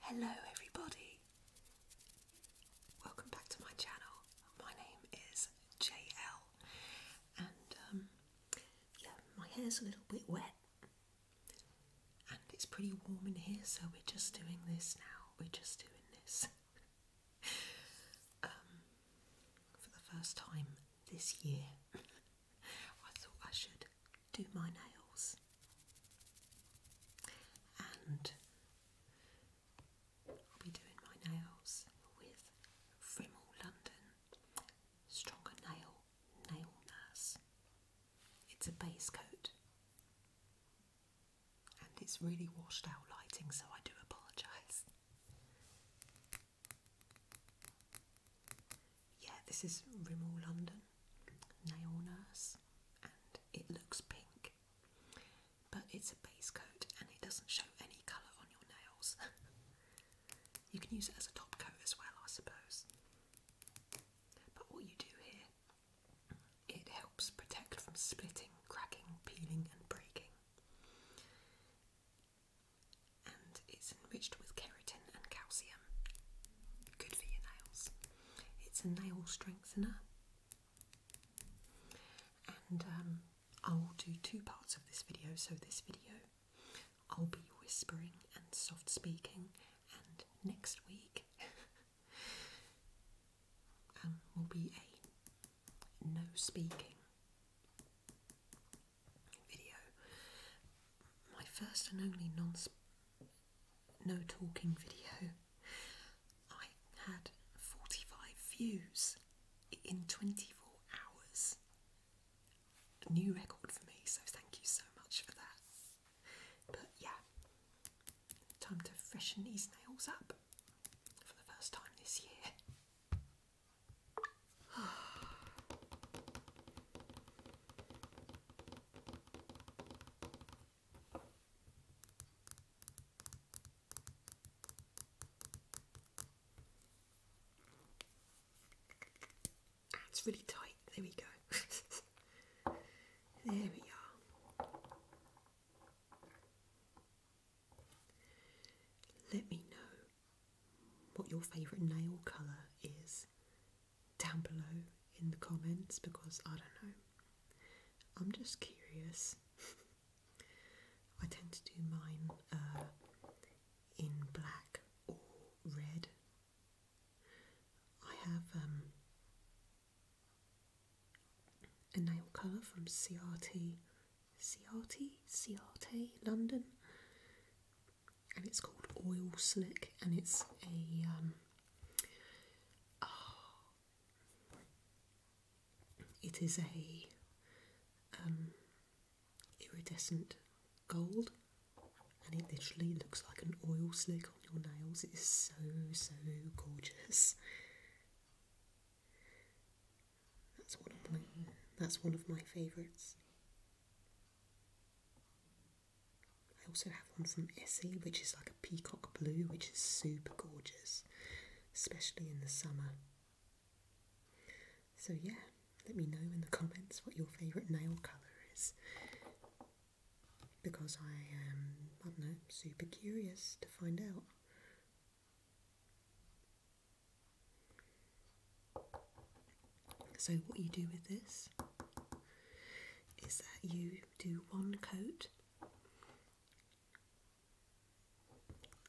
Hello, everybody. Welcome back to my channel. My name is JL, and um, yeah, my hair's a little bit wet, and it's pretty warm in here, so we're just doing this now. We're just doing this um, for the first time this year. I thought I should do my nails. And I'll be doing my nails with Rimmel London Stronger Nail Nail Nurse. It's a base coat and it's really washed out lighting, so I do apologise. Yeah, this is Rimmel London Nail Nurse, and it looks pink, but it's a base coat and it doesn't show any colour on your nails. you can use it as a top coat as well, I suppose. But what you do here, it helps protect from splitting, cracking, peeling, and breaking and it's enriched with keratin and calcium. Good for your nails. It's a nail strengthener. And um, I will do two parts of this video. So, this video I'll be whispering and soft speaking, and next week um, will be a no speaking video. My first and only non no talking video. I had 45 views in 24 hours. A new record for me, so thank you so much for that. But yeah, time to freshen these nails up for the first time this year. It's really tight. There we go. there we are. Let me know what your favourite nail colour is down below in the comments because I don't know. I'm just curious. I tend to do mine uh, in black or red. I have um, a nail colour from CRT, CRT, CRT, London, and it's called Oil Slick, and it's a um, ah, it is a um, iridescent gold, and it literally looks like an oil slick on your nails. It is so so gorgeous. That's one of my that's one of my favourites. I also have one from Essie, which is like a peacock blue, which is super gorgeous, especially in the summer. So yeah, let me know in the comments what your favourite nail colour is because I am, I don't know, super curious to find out. So, what you do with this is that you do one coat,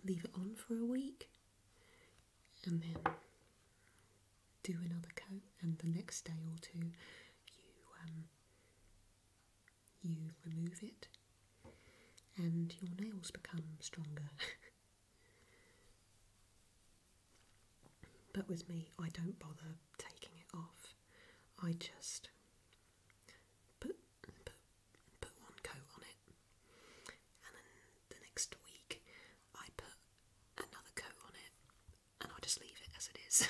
leave it on for a week, and then do another coat, and the next day or two you um, you remove it and your nails become stronger. but with me, I don't bother taking it off. I just put, put, put one coat on it, and then the next week I put another coat on it, and I just leave it as it is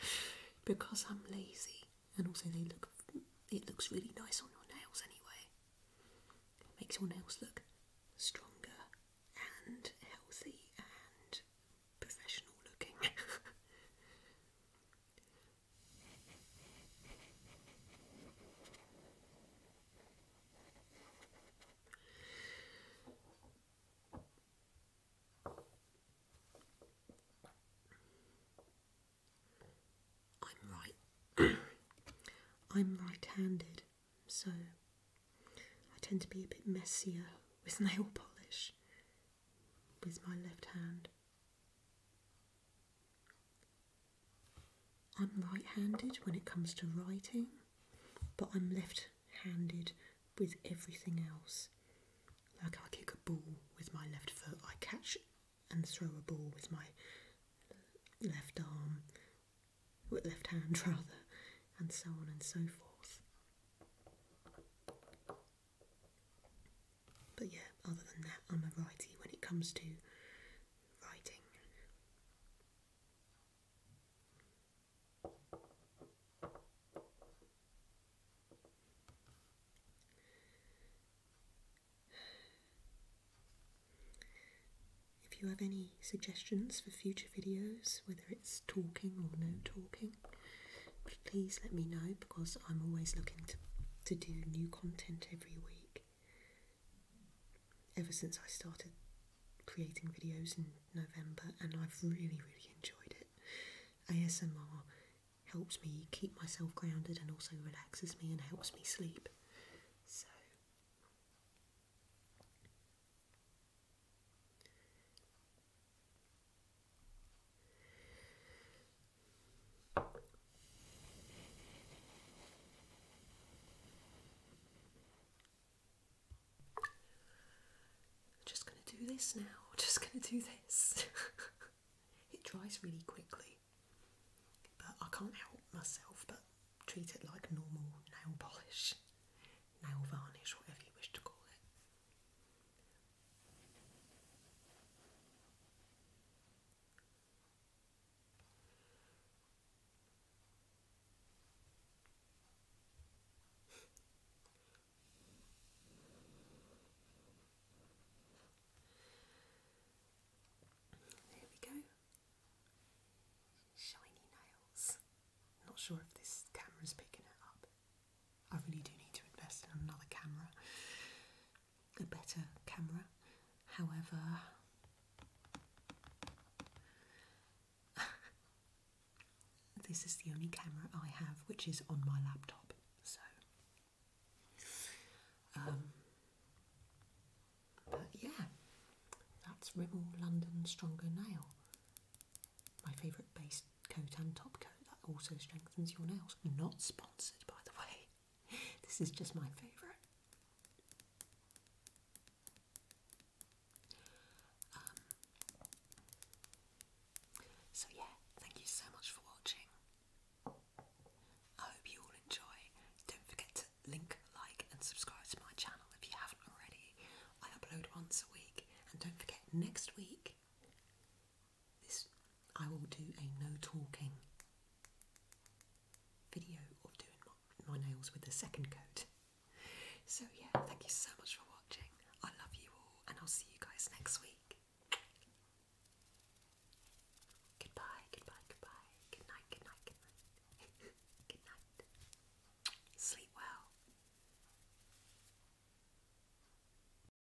because I'm lazy. And also, they look it looks really nice on your nails anyway. It makes your nails look stronger and healthy and professional looking. I'm right. I'm right-handed, so I tend to be a bit messier with nail polish with my left hand. I'm right handed when it comes to writing, but I'm left handed with everything else. Like I kick a ball with my left foot, I catch and throw a ball with my left arm, with left hand rather, and so on and so forth. But yeah, other than that, I'm a righty when it comes to writing. If you have any suggestions for future videos, whether it's talking or no talking, please let me know because I'm always looking to, to do new content every week ever since I started creating videos in November, and I've really, really enjoyed it. ASMR helps me keep myself grounded and also relaxes me and helps me sleep. So, I'm just going to do this now. I'm just going to do this. it dries really quickly, but I can't help myself but treat it like normal nail polish, nail varnish, whatever you wish to call it. There we go. Shiny nails. Not sure if this camera's picking it up. I really do need to invest in another camera a better camera. However, this is the only camera I have which is on my laptop, so. Um, but yeah, that's Rimmel London Stronger Nail. My favourite base coat and top coat that also strengthens your nails. Not sponsored, by the way. this is just my favourite. Um, so, yeah, thank you so much for watching. I hope you all enjoy. Don't forget to link, like, and subscribe to my channel if you haven't already. I upload once a week, and don't forget, next week this I will do a no talking video of doing my, my nails with the second coat. So yeah, thank you so much for watching. I love you all and I'll see you guys next week. Goodbye, goodbye, goodbye. Good night, good night, good night. good night. Sleep well.